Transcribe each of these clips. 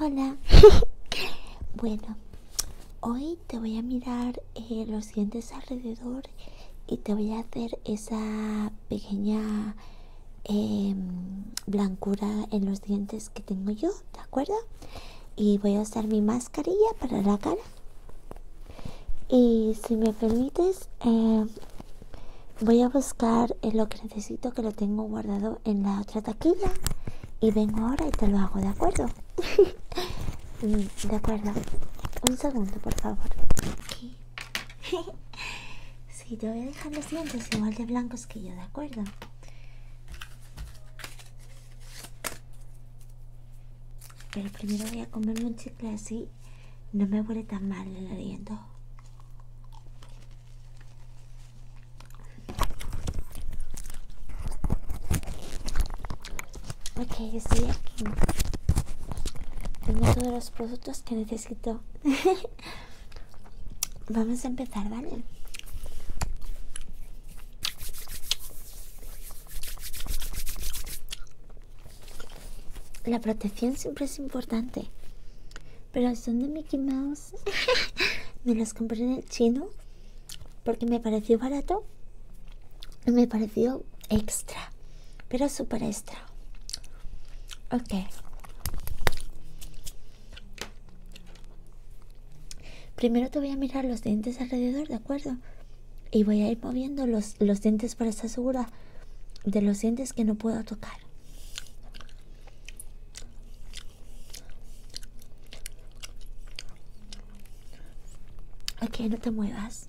Hola. bueno, hoy te voy a mirar eh, los dientes alrededor y te voy a hacer esa pequeña em, blancura en los dientes que tengo yo, ¿de acuerdo? Y voy a usar mi mascarilla para la cara. Y si me permites, em, voy a buscar lo que necesito, que lo tengo guardado en la otra taquilla. Y vengo ahora y te lo hago, ¿de acuerdo? Mm, de acuerdo. Un segundo, por favor. sí, te voy a dejar los dientes igual de blancos que yo, ¿de acuerdo? Pero primero voy a comerme un chicle así. No me huele tan mal el aliento. Ok, estoy aquí. Tengo todos los productos que necesito. Vamos a empezar, ¿vale? La protección siempre es importante. Pero son de Mickey Mouse. me los compré en el chino porque me pareció barato y me pareció extra. Pero súper extra. Ok. Primero te voy a mirar los dientes alrededor, ¿de acuerdo? Y voy a ir moviendo los, dientes para estar segura de los dientes que no puedo tocar. Ok, no te muevas.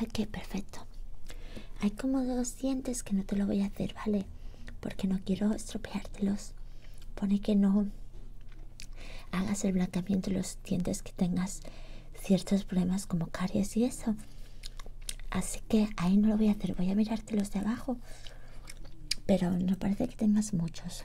Ok, perfecto. Hay como dos dientes que no te lo voy a hacer, ¿vale? Porque no quiero estropeártelos. Pone que no hagas el blanqueamiento de los dientes que tengas ciertos problemas como caries y eso. Así que ahí no lo voy a hacer. Voy a mirarte los de abajo. Pero no parece que tengas muchos.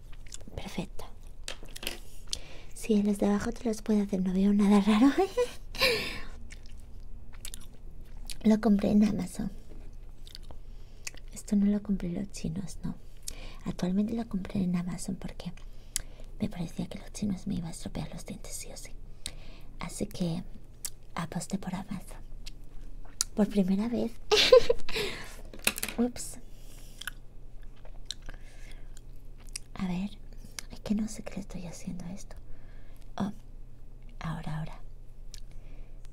Perfecto. si en los de abajo te los puedo hacer, no veo nada raro. lo compré en Amazon. Esto no lo compré los chinos, no. Actualmente lo compré en Amazon porque me parecía que los chinos me iba a estropear los dientes, sí o sí. Así que aposté por Amazon. Por primera vez. Ups. A ver, es que no sé qué le estoy haciendo esto. Oh, ahora, ahora.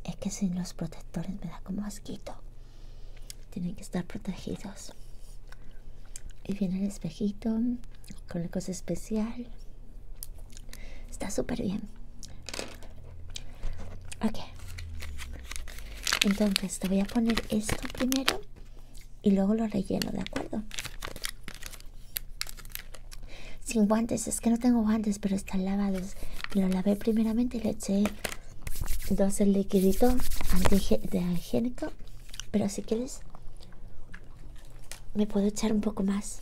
Es que sin los protectores me da como asquito. Tienen que estar protegidos. Y viene el espejito con la cosa especial. Está súper bien. Ok. Entonces te voy a poner esto primero y luego lo relleno, ¿de acuerdo? Sin guantes, es que no tengo guantes, pero están lavados. Lo lavé primeramente y le eché entonces el liquidito antihigiénico, pero si quieres me puedo echar un poco más.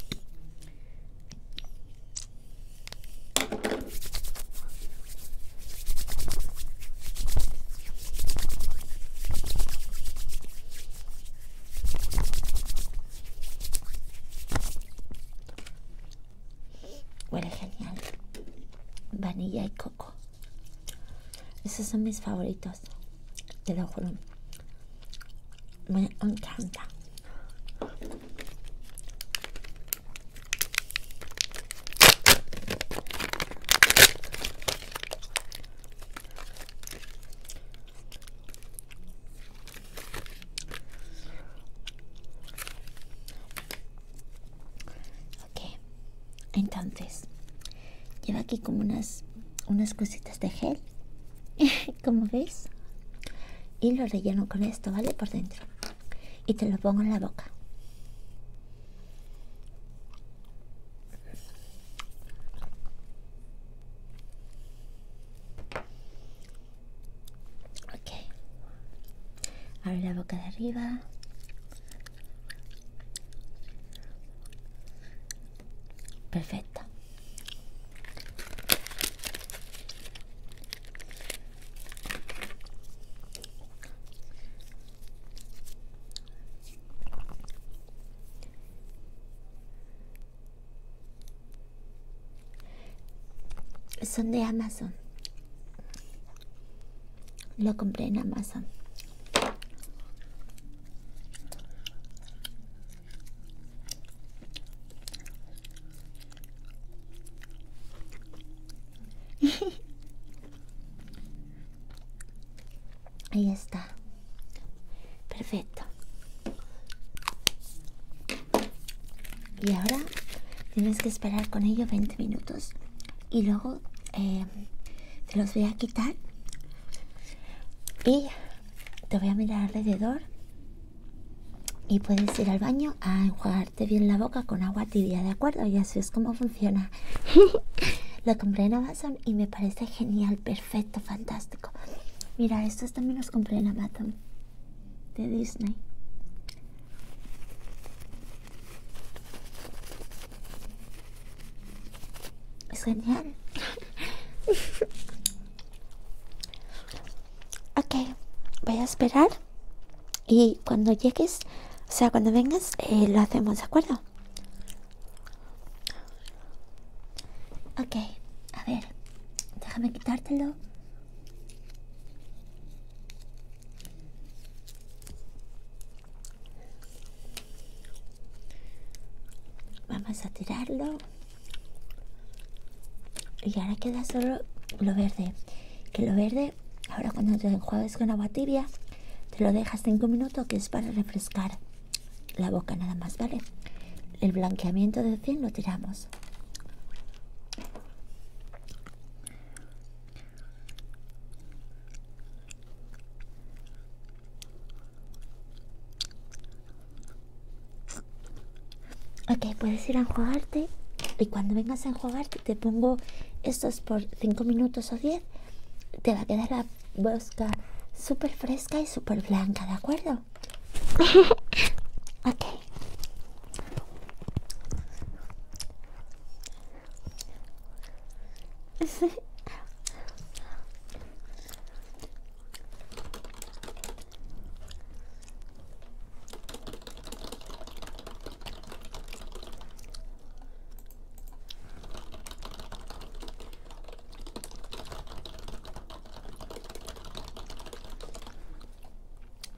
Huele genial. Vanilla y coco. Esos son mis favoritos. Te lo juro. Me encanta. Okay, entonces lleva aquí como unas unas cositas de gel, como ves y lo relleno con esto, ¿vale? Por dentro y te lo pongo en la boca. Ok. Abre la boca de arriba. Perfecto. Son de Amazon. Lo compré en Amazon. Ahí está. Perfecto. Y ahora tienes que esperar con ello 20 minutos. Y luego eh, te los voy a quitar. Y te voy a mirar alrededor y puedes ir al baño a enjuagarte bien la boca con agua tibia, ¿de acuerdo? Y así es como funciona. Lo compré en Amazon y me parece genial, perfecto, fantástico. Mira, estos también los compré en Amazon de Disney. Es genial. ok, voy a esperar y cuando llegues, o sea, cuando vengas, eh, lo hacemos, ¿de acuerdo? Ok, a ver, déjame quitártelo. Vamos a tirarlo. Y ahora queda solo lo verde que lo verde ahora cuando te enjuagues con agua tibia te lo dejas 5 minutos que es para refrescar la boca nada más vale el blanqueamiento de 100 lo tiramos Ok, puedes ir a enjuagarte y cuando vengas a enjuagarte te pongo estos por 5 minutos o 10. Te va a quedar la bosca súper fresca y súper blanca, ¿de acuerdo? ok.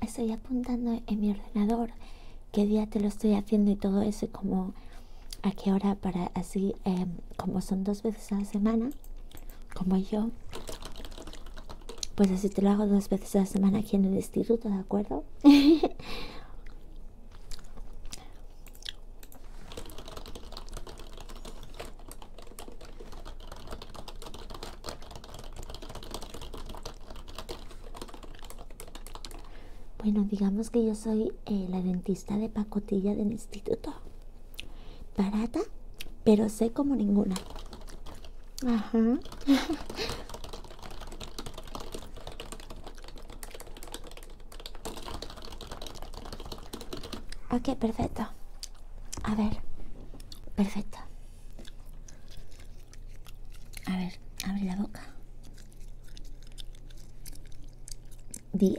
Estoy apuntando en mi ordenador qué día te lo estoy haciendo y todo eso, como a qué hora para así, em, como son dos veces a la semana, como yo, pues así te lo hago dos veces a la semana aquí en el instituto, ¿de acuerdo? Bueno, digamos que yo soy eh, la dentista de pacotilla del instituto. Barata, pero sé como ninguna. Ajá. ok, perfecto. A ver. Perfecto. A ver, abre la boca.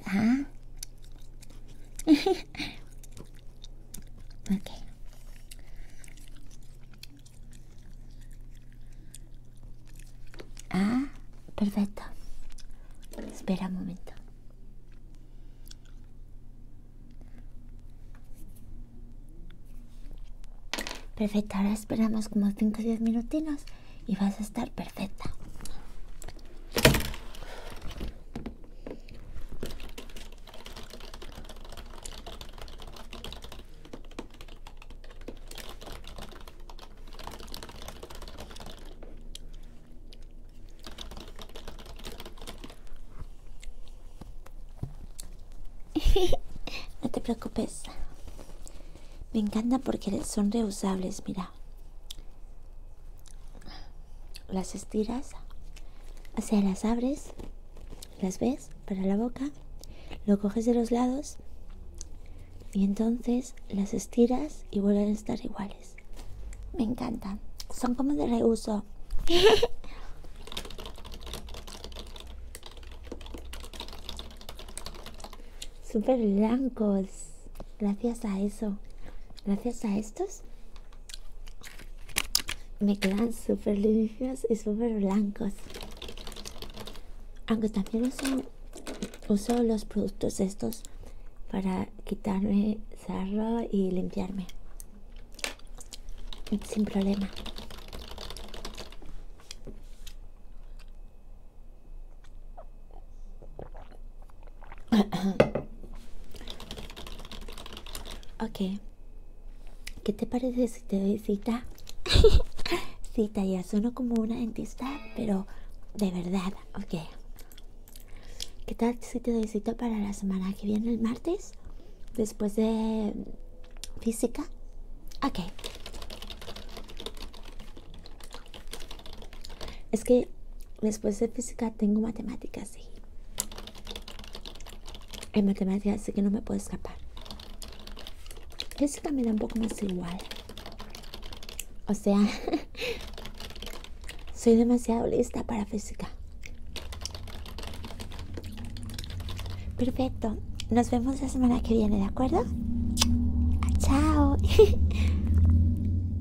A. Ah. ok. Ah, perfecto. Espera un momento. Perfecto, ahora esperamos como 5 o 10 minutinos y vas a estar perfecta. no te preocupes. Me encanta porque son reusables, mira las estiras, o sea, las abres, las ves para la boca, lo coges de los lados y entonces las estiras y vuelven a estar iguales. Me encantan, son como de reuso. Súper blancos, gracias a eso, gracias a estos me quedan súper limpios y súper blancos aunque también uso, uso los productos estos para quitarme cerro y limpiarme sin problema ok. ¿Qué te parece si te doy cita? cita, ya sueno como una dentista, pero de verdad, ok. ¿Qué tal si te doy cita para la semana que viene, el martes? Después de física. Ok. Es que después de física tengo matemáticas en matemáticas, así que no me puedo escapar. Física me da un poco más igual. O sea, soy demasiado lista para física. Perfecto. Nos vemos la semana que viene, ¿de acuerdo? Chao.